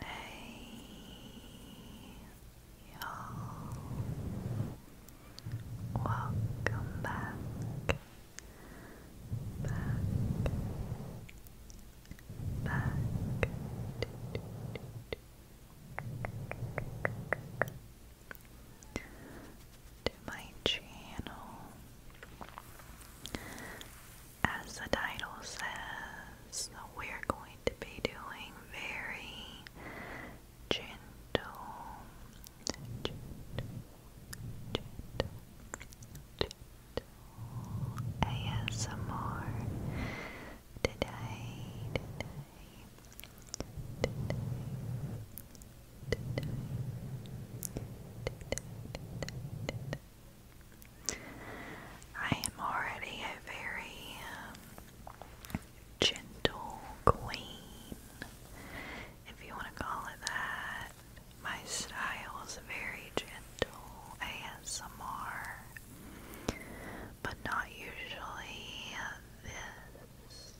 Hey, you welcome back, back, back to my channel. As the title says, we're going to be doing very gentle, gentle, gentle, gentle ASMR today, I am already a very um, gentle queen, if you want to call it that. My style is very gentle ASMR, but not usually this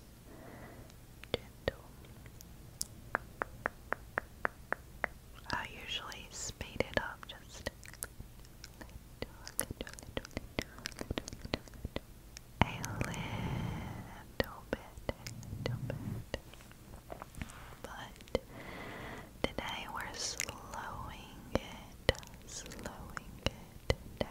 I usually speed it up just A little bit, But today we're slowing it, slowing it down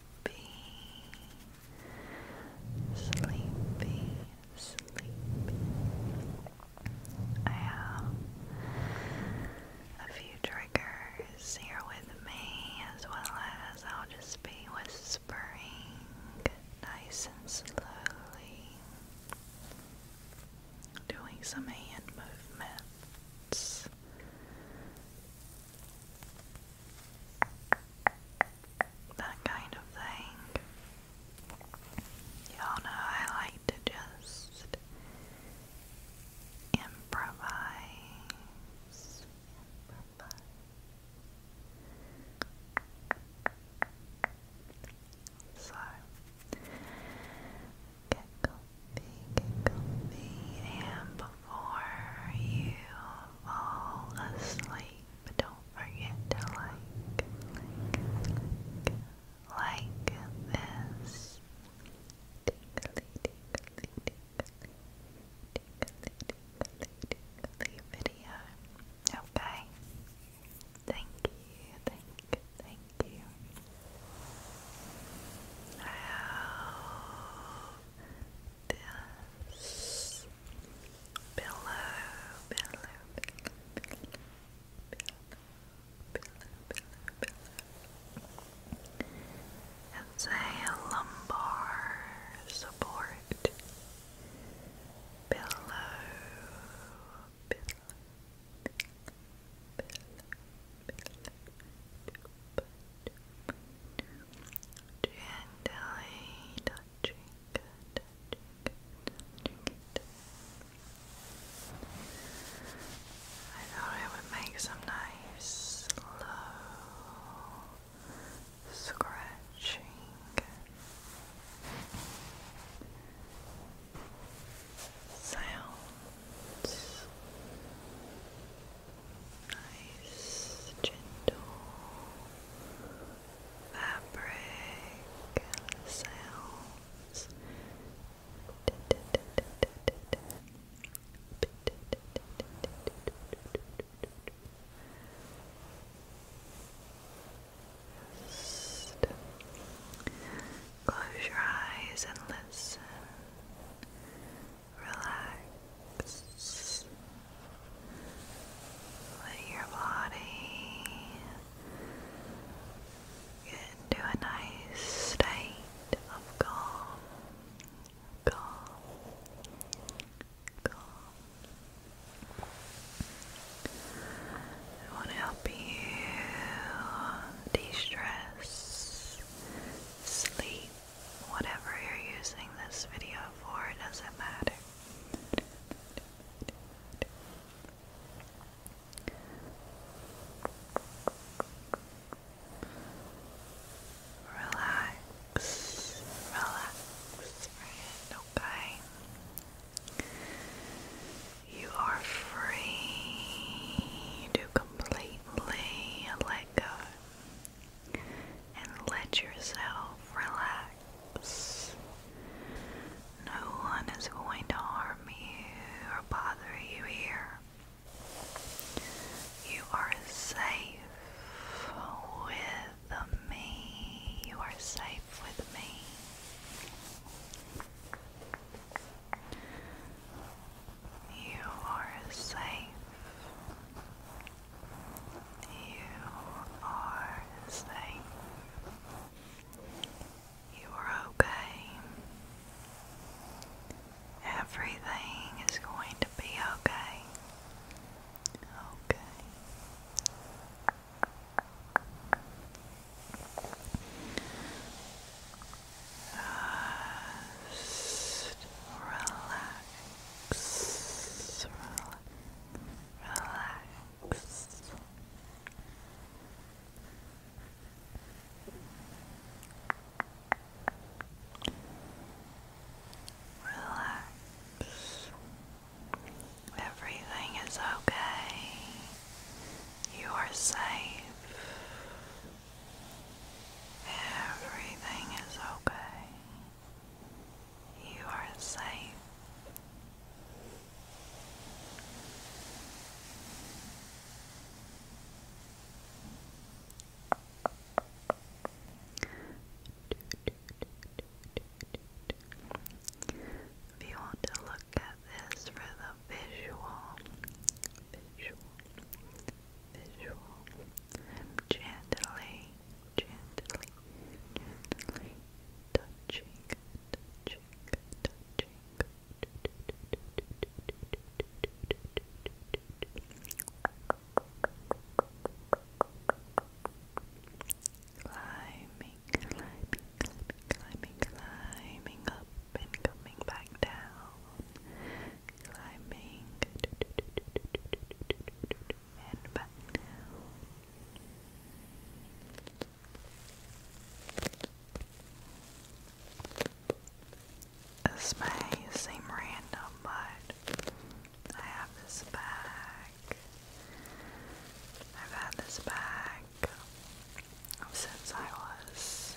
sleepy, sleepy, sleepy. I have a few triggers here with me, as well as I'll just be whispering nice and slowly, doing some hand movements that kind of thing. Y'all know I like to just improvise. So, get comfy, get comfy, and before you fall asleep, don't forget to like, like, like this. Video. Okay. Thank you, thank thank you. I this pillow, pillow, pillow, pillow, pillow, pillow, pillow. It's a lumbar support pillow, pillow, Gently touching, it. I thought it would make some nice, slow scratching. Sounds nice, gentle fabric sounds. close your eyes and listen relax. Let your body get into a nice state of calm, calm, I want to help you de stress, sleep whatever you're using this video for, it doesn't matter. Relax, relax, friend, okay? You are free to completely completely let go and let yourself relax. No one is going to harm you or bother you here. You are safe with me. You are safe with me. You are safe. You are safe. You are okay. Everything is going to be okay. Okay. Just relax, relax. Relax. Everything is okay. You are safe. Everything is okay. You are safe. If you want to look at this for the visual visual, visual, gently, gently, gently touching, touching, touching. Climbing, climbing, climbing, climbing, climbing up, and coming back down, climbing and back down. This seem random, but I have this bag. I've had this bag since I was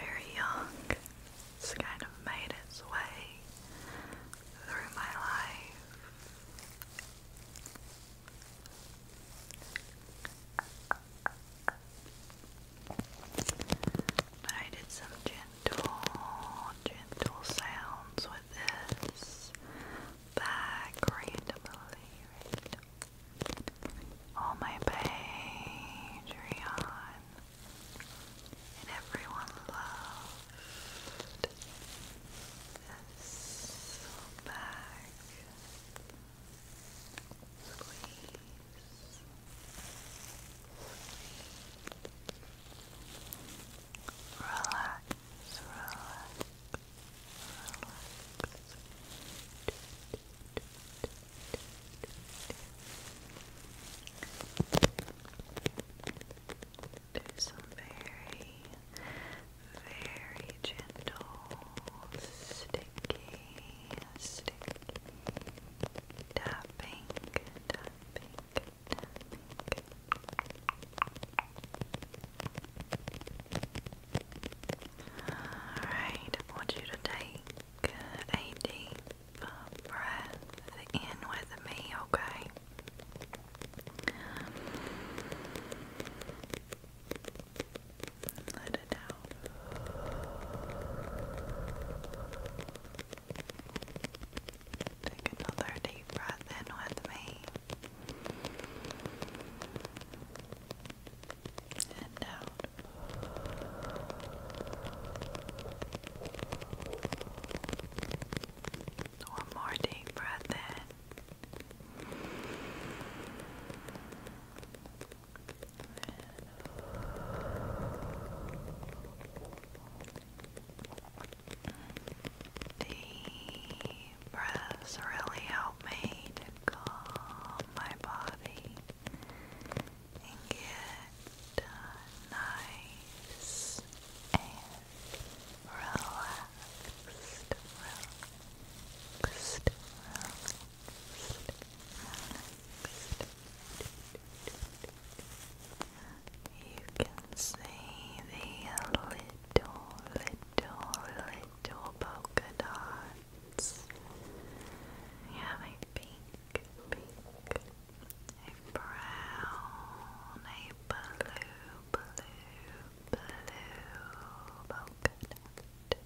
very young. It's kind of made its way through my life. I did some gentle, gentle sounds with this back randomly, randomly all my Patreon and everyone loved this back squeeze. Relax, relax, relax. Do some very, very gentle, sticky, sticky tapping, tapping, tapping. Alright, want you to take a deep breath in with me, okay? Let it out. Take another deep breath in with me and out. One more deep breath in. Deep breaths really help me to calm my body and get nice and relaxed, You can see the little, little, little polka dot ones. have a pink, a brown, a blue, blue, blue, polka dot,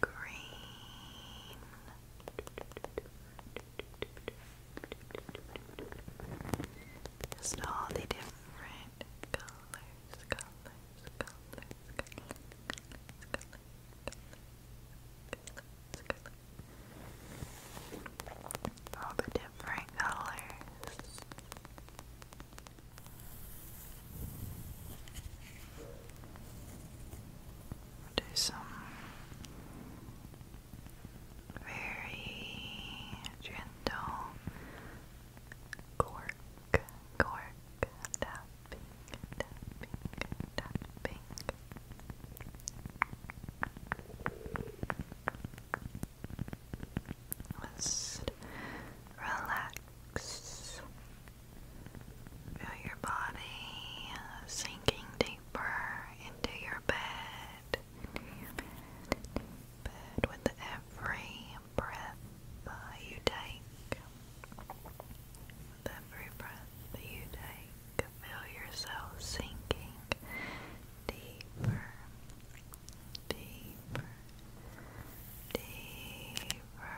green. Just all the different colors, all the different colors. Do some very gentle quartz cork, tapping, relax. Feel your body sinking deeper into your bed. bed with every breath uh, you take, every breath that you take, feel yourself sinking deeper, deeper, deeper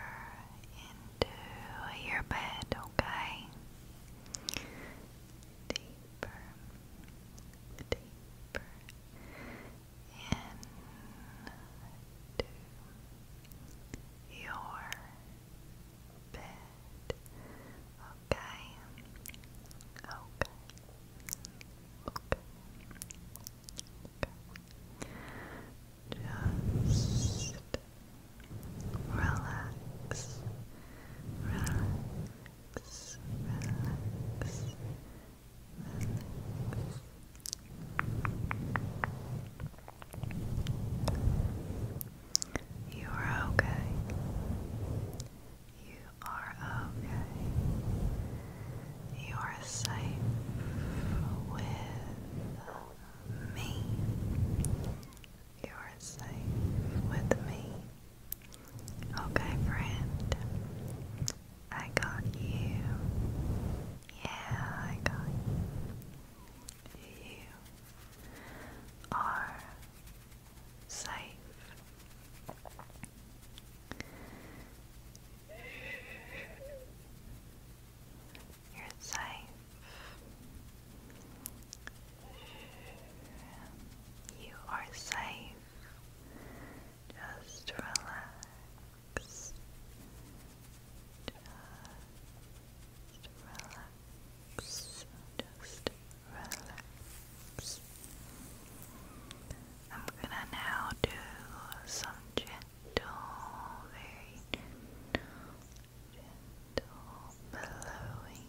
into your bed, okay? Deeper, deeper, into your bed. Okay. Okay. Okay. Okay. Just Relax. Relax. Relax. You are okay. You are okay. You are safe with me. You are safe with me. Okay, friend. I got you. Yeah, I got you. You are safe. You're safe. You are safe. Just relax. Just relax. Just relax. I'm gonna now do some gentle, very gentle, blowing,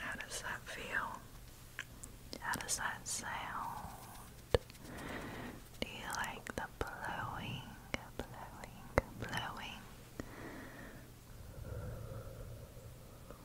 How does that feel? How does that sound? Do you like the blowing, blowing, blowing?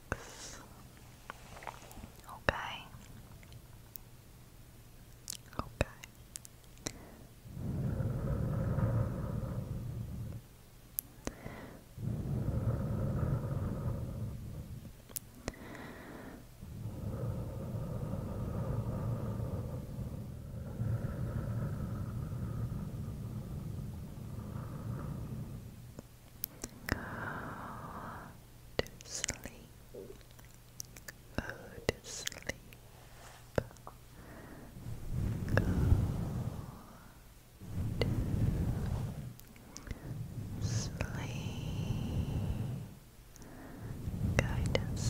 Okay. Okay. Go to Go to sleep. Go to sleep. Go to sleep. Go to sleep. Go to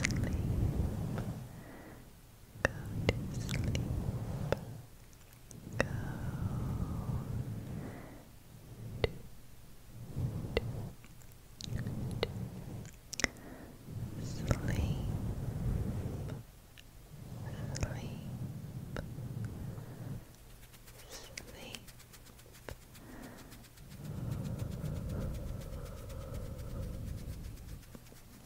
sleep. Go to sleep go do, do, do. sleep sleep sleep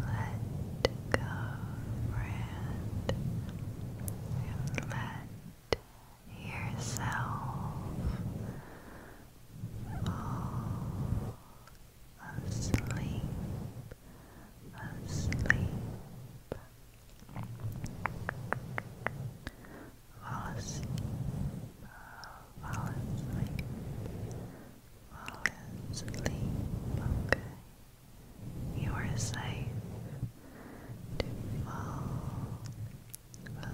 let go, friend, and let yourself fall asleep, asleep, asleep, fall asleep, okay? You are safe to fall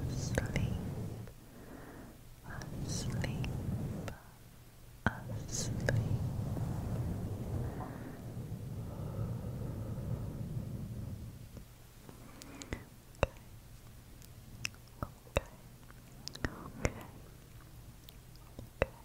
asleep, asleep, asleep. Okay. Okay. Okay. Okay.